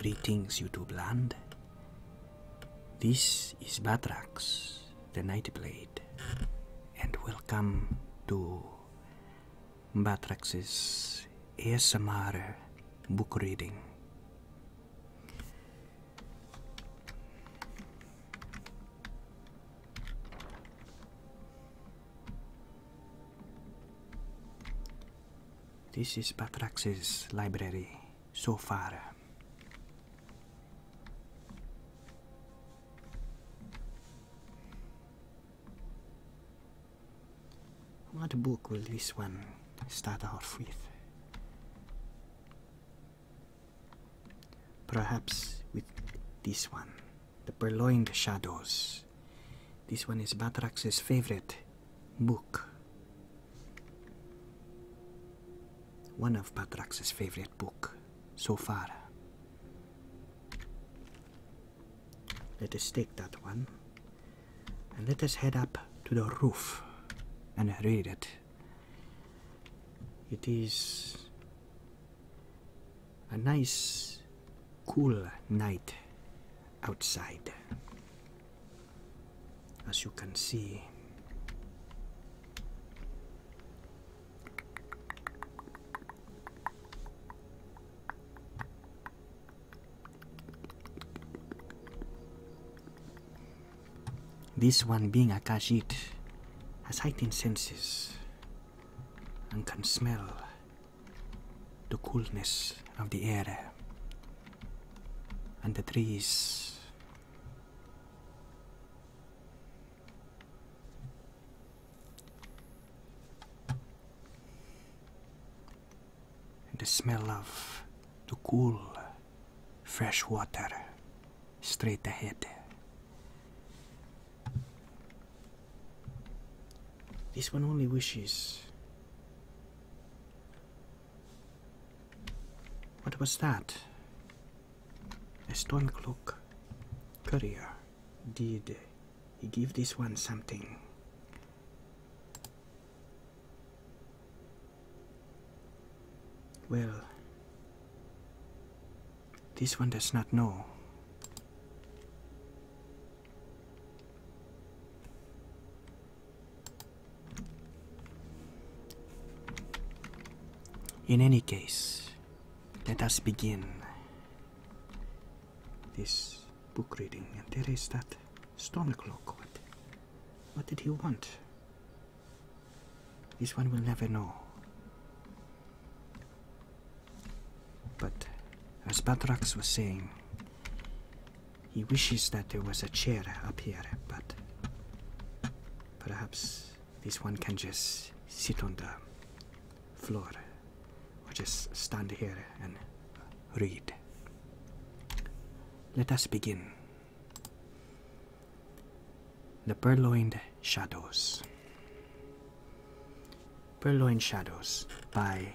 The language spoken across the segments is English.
Greetings, you YouTube land. This is Batrax, the Nightblade, and welcome to Batrax's ASMR book reading. This is Batrax's library so far. What book will this one start off with? Perhaps with this one. The Purloined Shadows. This one is Batrax's favorite book. One of Batrax's favorite book so far. Let us take that one and let us head up to the roof and read it. It is a nice cool night outside. As you can see, this one being a Khajiit has heightened senses and can smell the coolness of the air and the trees. and The smell of the cool, fresh water straight ahead. This one only wishes. What was that? A stone clock, courier. Did he give this one something? Well, this one does not know. In any case, let us begin this book reading. And there is that stomach lock. What, what did he want? This one will never know. But as Batrax was saying, he wishes that there was a chair up here, but perhaps this one can just sit on the floor or just stand here and read. Let us begin. The Purloined Shadows. Purloined Shadows by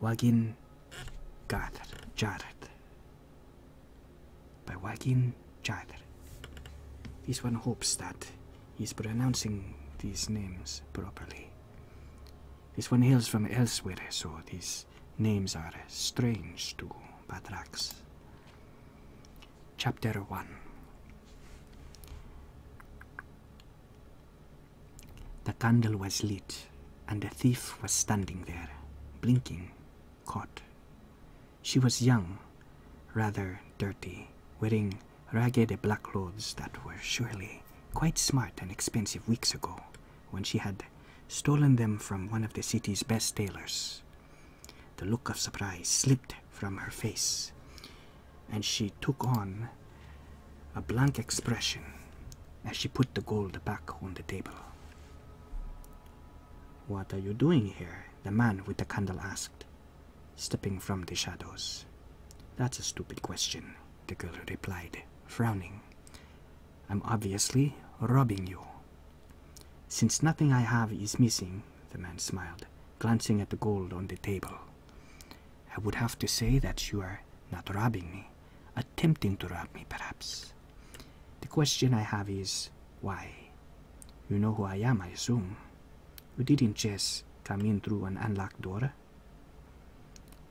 Wagin Jarrett. By Wagin Jarrett. This one hopes that he's pronouncing these names properly. This one hears from elsewhere, so these names are strange to Batrax. Chapter 1 the candle was lit, and the thief was standing there, blinking, caught. She was young, rather dirty, wearing ragged black clothes that were surely quite smart and expensive weeks ago when she had stolen them from one of the city's best tailors. The look of surprise slipped from her face, and she took on a blank expression as she put the gold back on the table. What are you doing here? the man with the candle asked, stepping from the shadows. That's a stupid question, the girl replied, frowning. I'm obviously robbing you. Since nothing I have is missing, the man smiled, glancing at the gold on the table. I would have to say that you are not robbing me, attempting to rob me, perhaps. The question I have is why? You know who I am, I assume. You didn't just come in through an unlocked door.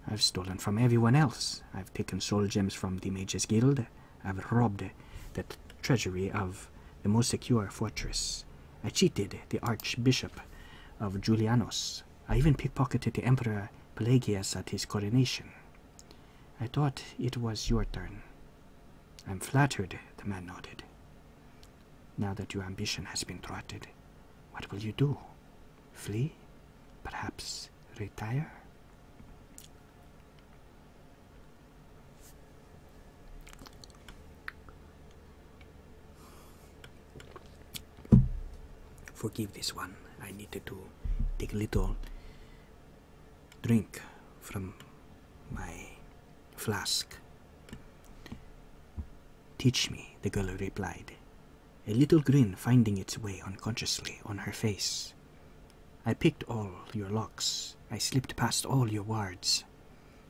I've stolen from everyone else. I've taken soul gems from the Mages Guild. I've robbed the treasury of the most secure fortress. I cheated the Archbishop of Julianos. I even pickpocketed the Emperor Pelagius at his coronation. I thought it was your turn. I'm flattered, the man nodded. Now that your ambition has been thwarted, what will you do? Flee? Perhaps retire? Forgive this one. I needed to take a little drink from my flask. Teach me, the girl replied, a little grin finding its way unconsciously on her face. I picked all your locks. I slipped past all your wards.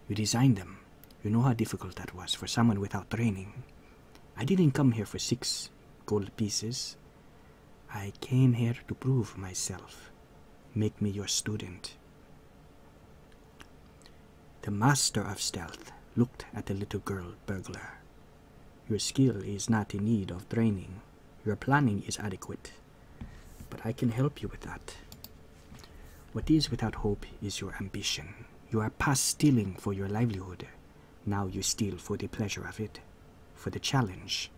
You designed them. You know how difficult that was for someone without training. I didn't come here for six gold pieces. I came here to prove myself. Make me your student. The master of stealth looked at the little girl burglar. Your skill is not in need of training. Your planning is adequate. But I can help you with that. What is without hope is your ambition. You are past stealing for your livelihood. Now you steal for the pleasure of it, for the challenge.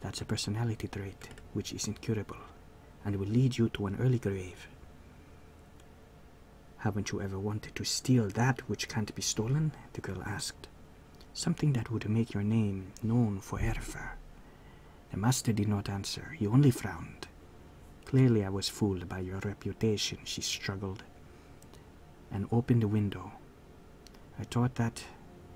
That's a personality trait which is incurable and will lead you to an early grave. Haven't you ever wanted to steal that which can't be stolen? the girl asked. Something that would make your name known for ever. The master did not answer. He only frowned. Clearly, I was fooled by your reputation, she struggled, and opened the window. I thought that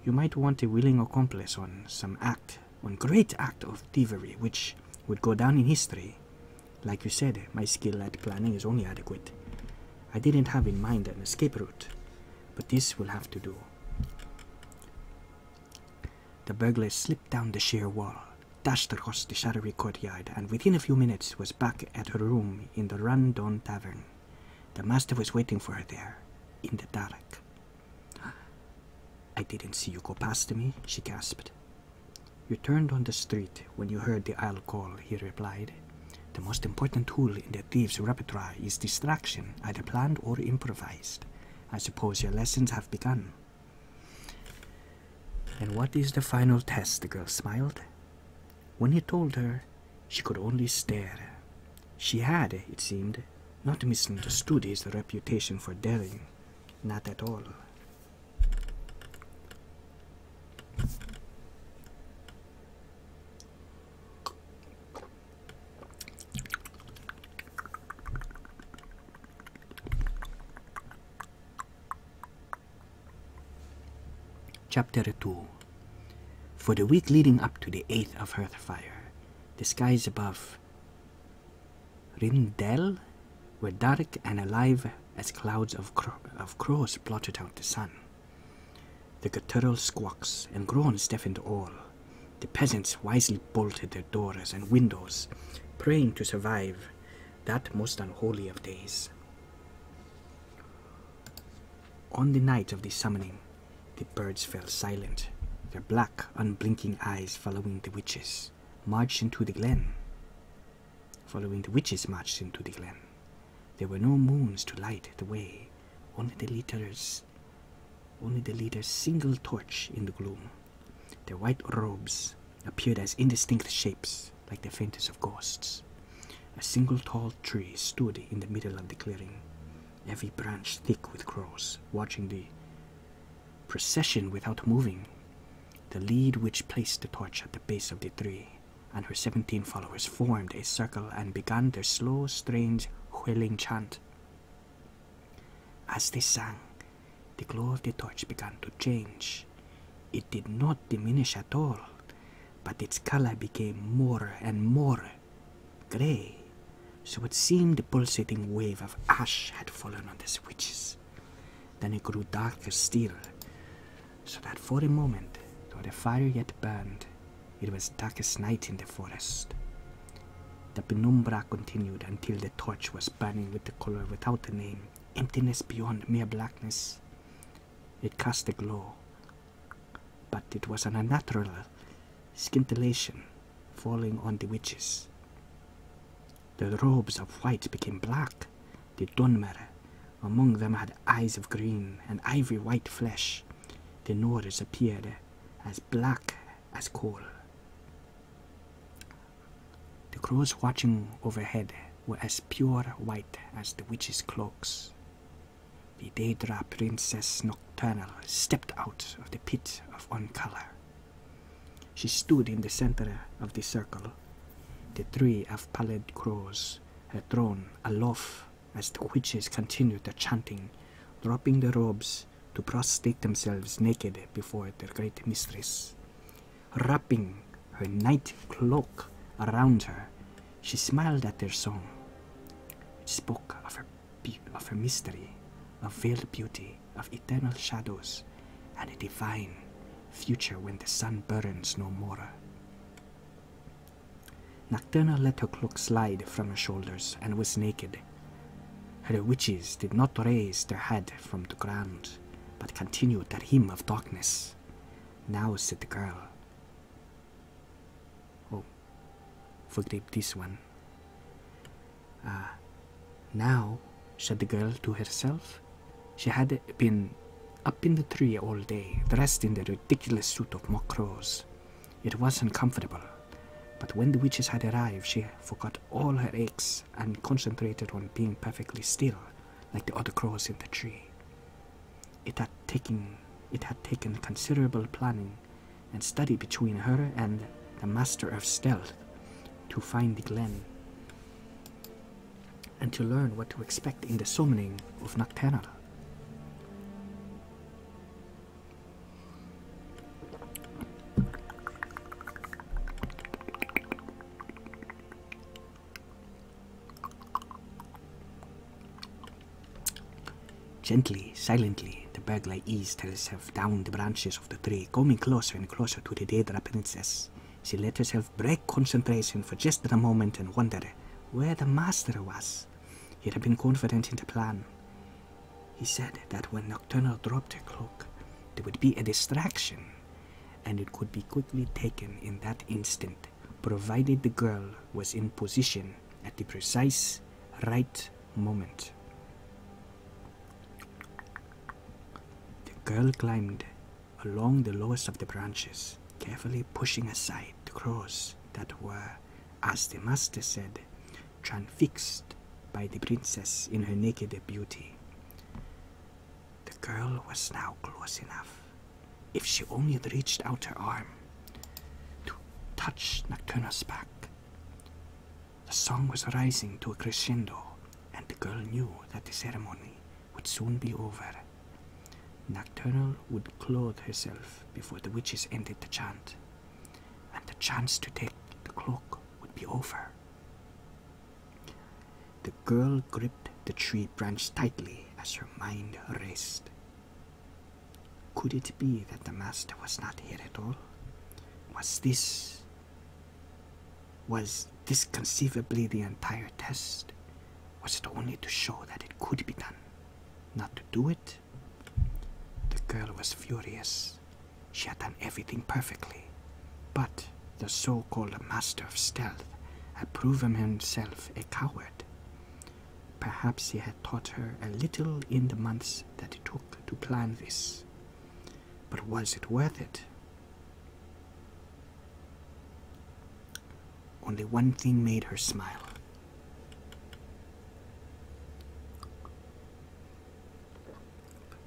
you might want a willing accomplice on some act, on great act of thievery, which would go down in history. Like you said, my skill at planning is only adequate. I didn't have in mind an escape route, but this will have to do. The burglar slipped down the sheer wall, dashed across the shadowy courtyard, and within a few minutes was back at her room in the Randon Tavern. The master was waiting for her there, in the dark. I didn't see you go past me, she gasped. You turned on the street when you heard the owl call, he replied. The most important tool in the thief's repertoire is distraction, either planned or improvised. I suppose your lessons have begun. And what is the final test? The girl smiled. When he told her, she could only stare. She had, it seemed, not misunderstood his reputation for daring, not at all. Chapter 2 For the week leading up to the 8th of Hearthfire, the skies above Rindel were dark and alive as clouds of, of crows blotted out the sun. The guttural squawks and groans deafened all. The peasants wisely bolted their doors and windows, praying to survive that most unholy of days. On the night of the summoning, the birds fell silent, their black, unblinking eyes following the witches marched into the glen. Following the witches marched into the glen. There were no moons to light the way, only the litters only the leader's single torch in the gloom. Their white robes appeared as indistinct shapes, like the faintest of ghosts. A single tall tree stood in the middle of the clearing, every branch thick with crows, watching the procession without moving. The lead witch placed the torch at the base of the tree, and her seventeen followers formed a circle and began their slow, strange, whirling chant. As they sang, the glow of the torch began to change. It did not diminish at all, but its color became more and more grey, so it seemed the pulsating wave of ash had fallen on the switches. Then it grew darker still, so that for a moment, though the fire yet burned, it was darkest night in the forest. The penumbra continued until the torch was burning with the color without a name, emptiness beyond mere blackness. It cast a glow, but it was an unnatural scintillation falling on the witches. The robes of white became black, the Dunmer among them had eyes of green and ivory white flesh. The Norris appeared as black as cold. The crows watching overhead were as pure white as the witches' cloaks. The Daedra Princess Nocturnal stepped out of the pit of one She stood in the center of the circle, the three of pallid crows, had drawn aloft as the witches continued their chanting, dropping their robes to prostrate themselves naked before their great mistress. Wrapping her night cloak around her, she smiled at their song, which spoke of her, of her mystery, of veiled beauty, of eternal shadows, and a divine future when the sun burns no more. Nocturna let her cloak slide from her shoulders and was naked, the witches did not raise their head from the ground, but continued their hymn of darkness. Now said the girl, Oh, forgive this one. Ah, now, said the girl to herself, she had been up in the tree all day, dressed in the ridiculous suit of mock rose, it was uncomfortable, but when the witches had arrived, she forgot all her aches and concentrated on being perfectly still, like the other crows in the tree. It had taken, it had taken considerable planning and study between her and the master of stealth to find the glen and to learn what to expect in the summoning of Nocturnal. Gently, silently, the burglar eased herself down the branches of the tree, coming closer and closer to the dead princess. She let herself break concentration for just a moment and wonder where the master was. He had been confident in the plan. He said that when Nocturnal dropped her cloak, there would be a distraction, and it could be quickly taken in that instant, provided the girl was in position at the precise right moment. The girl climbed along the lowest of the branches, carefully pushing aside the crows that were, as the master said, transfixed by the princess in her naked beauty. The girl was now close enough, if she only reached out her arm, to touch Nocturna's back. The song was rising to a crescendo, and the girl knew that the ceremony would soon be over. Nocturnal would clothe herself before the witches ended the chant and the chance to take the cloak would be over. The girl gripped the tree branch tightly as her mind raced. Could it be that the master was not here at all? Was this. was this conceivably the entire test? Was it only to show that it could be done? Not to do it, the girl was furious. She had done everything perfectly, but the so called master of stealth had proven himself a coward. Perhaps he had taught her a little in the months that it took to plan this. But was it worth it? Only one thing made her smile.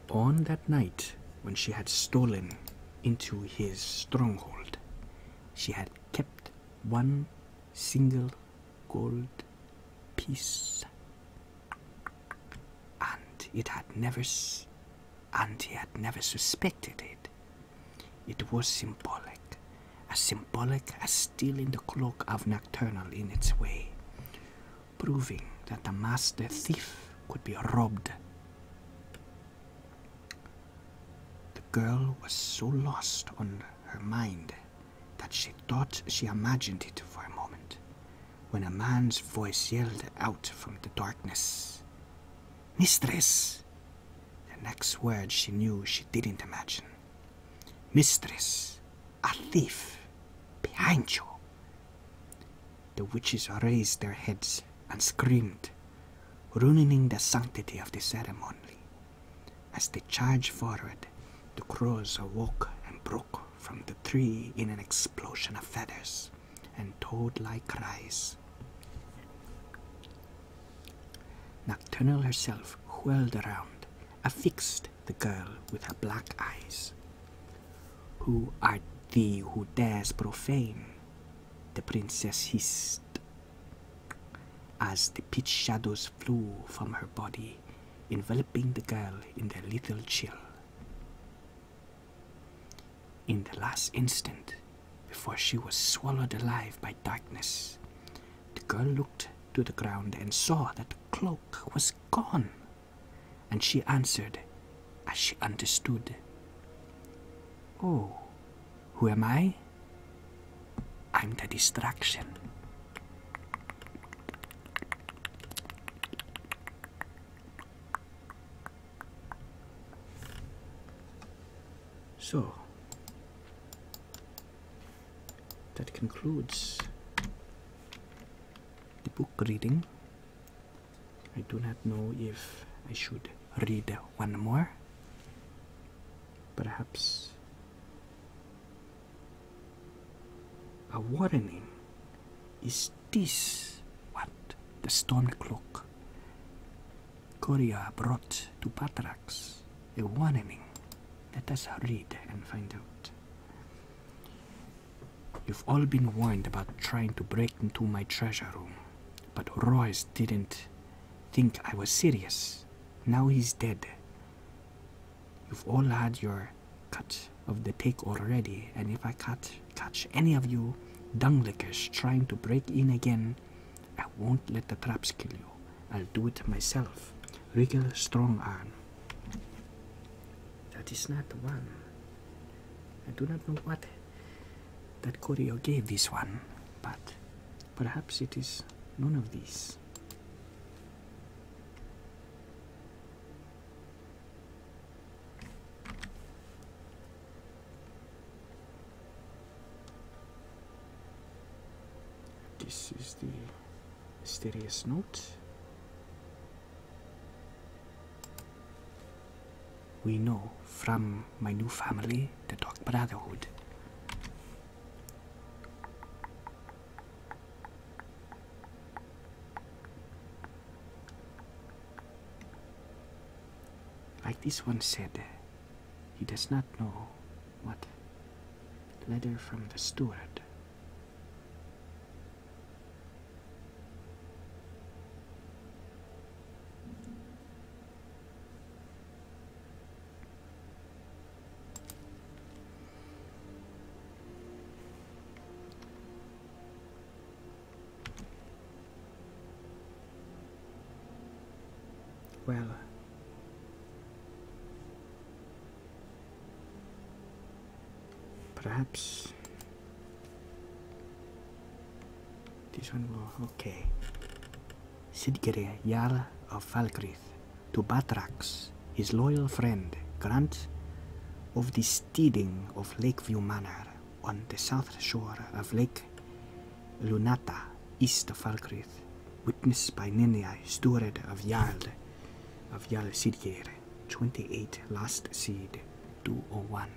On that night when she had stolen into his stronghold, she had kept one single gold piece, and it had never, and he had never suspected it. It was symbolic, as symbolic as stealing the cloak of Nocturnal in its way, proving that a master thief could be robbed. The girl was so lost on her mind that she thought she imagined it for a moment when a man's voice yelled out from the darkness Mistress! The next word she knew she didn't imagine. Mistress! a thief behind you. The witches raised their heads and screamed, ruining the sanctity of the ceremony. As they charged forward, the crows awoke and broke from the tree in an explosion of feathers and toad like cries. Nocturnal herself whirled around, affixed the girl with her black eyes. Who art thee who dares profane? The princess hissed as the pitch shadows flew from her body, enveloping the girl in their lethal chill. In the last instant, before she was swallowed alive by darkness, the girl looked to the ground and saw that the was gone, and she answered as she understood, Oh, who am I? I'm the destruction. So, that concludes the book reading. I do not know if I should read one more. Perhaps a warning. Is this what the storm clock Coria brought to Patra? a warning. Let us read and find out. You've all been warned about trying to break into my treasure room, but Royce didn't think I was serious. Now he's dead. You've all had your cut of the take already, and if I catch, catch any of you dunglickers trying to break in again, I won't let the traps kill you. I'll do it myself regular strong arm. That is not the one. I do not know what that choreo gave this one, but perhaps it is none of these. This is the mysterious note. We know from my new family, the Dark Brotherhood. Like this one said, he does not know what? Letter from the steward. Well, perhaps this one will okay Sidgere Yarl of Falkreath to Batraks, his loyal friend grant of the steeding of Lakeview Manor on the south shore of Lake Lunata east of Falkreath witnessed by Ninja, steward of Yald, of Yald Sidgir, 28 Last Seed 201.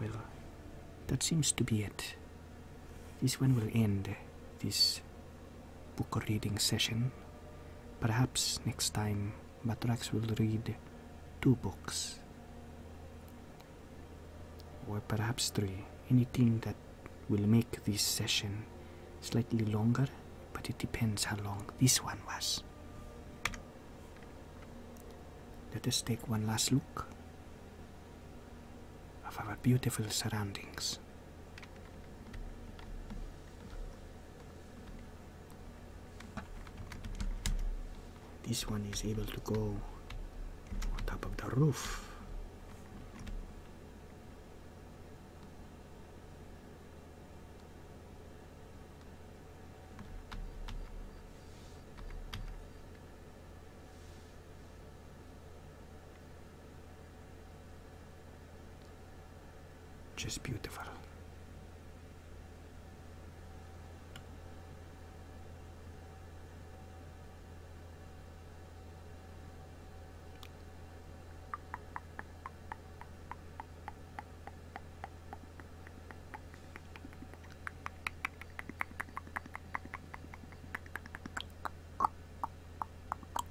Well, that seems to be it. This one will end this book reading session. Perhaps next time Batrax will read two books. Or perhaps three. Anything that will make this session slightly longer, but it depends how long this one was. Let us take one last look of our beautiful surroundings. This one is able to go on top of the roof. Just beautiful.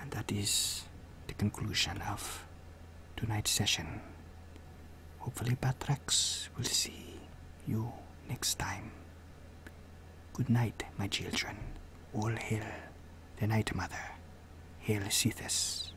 And that is the conclusion of tonight's session. Hopefully, Patrax will see you next time. Good night, my children. All hail the Night Mother. Hail Sethis.